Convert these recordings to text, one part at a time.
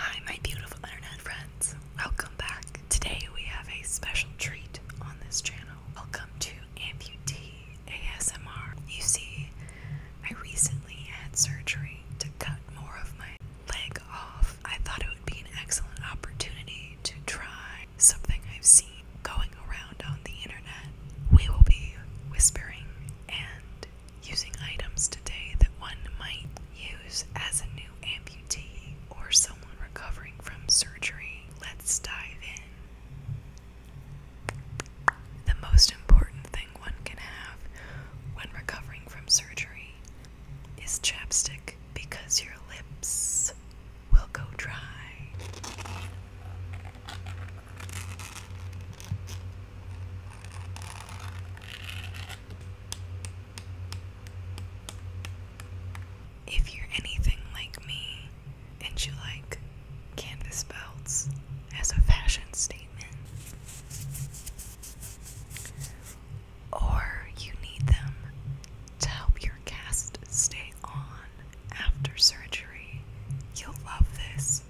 Hi, my beautiful internet friends. Welcome back. Today we have a special treat on this channel. Welcome to Amputee ASMR. You see, I recently had surgery to cut more of my leg off. I thought it would be an excellent opportunity to try something I've seen going around on the internet. We will be whispering and using items today that one might use as a new amputee or someone recovering from surgery. Let's dive in. The most important thing one can have when recovering from surgery is chapstick because your lips will go dry. If you're anything like me and you like canvas belts as a fashion statement, or you need them to help your cast stay on after surgery, you'll love this.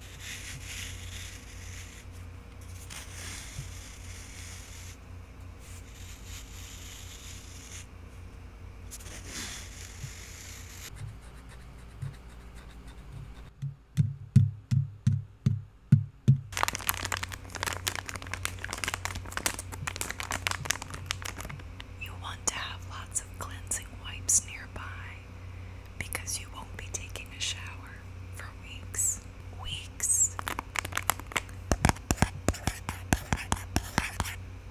You want to have lots of cleansing wipes nearby because you won't be taking a shower for weeks. Weeks.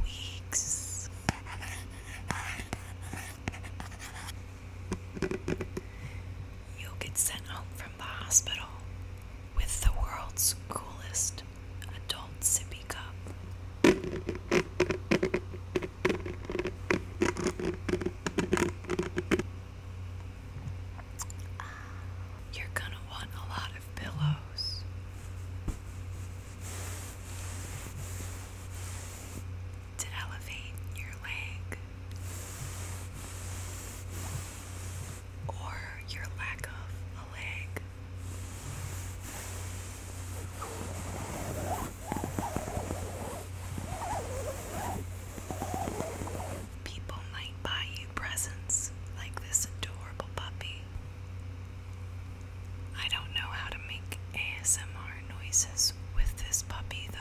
Weeks. You'll get sent home from the hospital with the world's coolest adult sippy cup. Ah, you're gonna want a lot of pillows. To elevate your leg or your lack of a leg, People might buy you presents like this adorable puppy. I don't know how to make ASMR noises with this puppy though.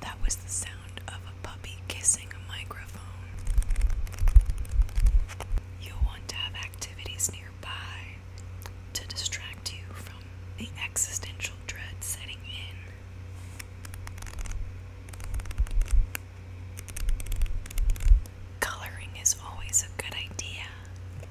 That was the sound of a puppy kissing a microphone. You'll want to have activities nearby to distract you from the existential dread setting in. Coloring is always a good idea.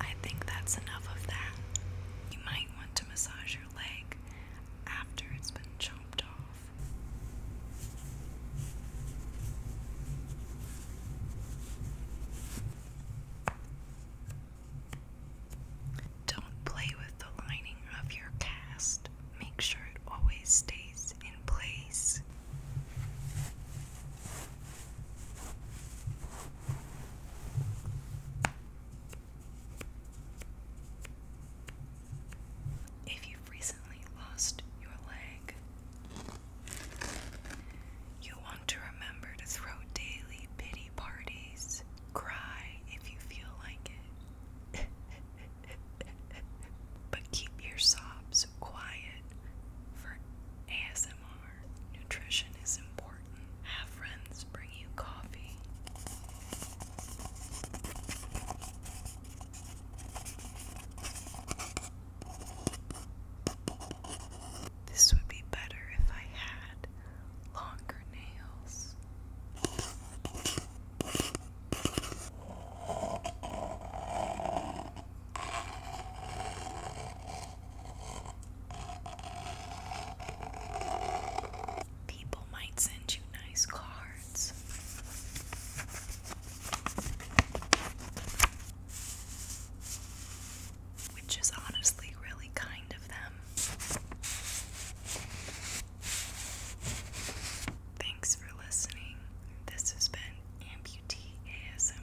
I think that's enough of that. You might want to massage your leg after it's been chopped off. Don't play with the lining of your cast. Make sure it always stays in place. If you've recently lost your leg, you want to remember to throw daily pity parties. Cry if you feel like it. but keep your sobs quiet for ASMR. Nutrition is important. Have friends bring you coffee. This would be better if I had longer nails. People might send you nice cards. Which is honestly really kind of them. Thanks for listening. This has been Amputee ASMR.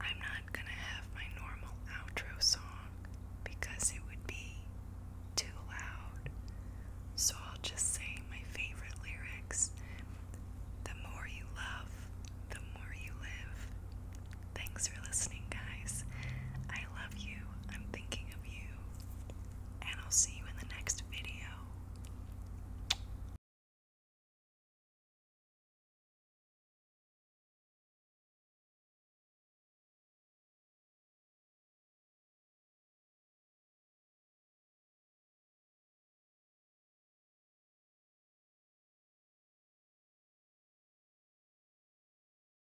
I'm not gonna have my normal outro song because it would be too loud. So I'll just say my favorite lyrics. The more you love, the more you live. Thanks for listening, guys. I love you. I'm thinking of you and I'll see you in the next video.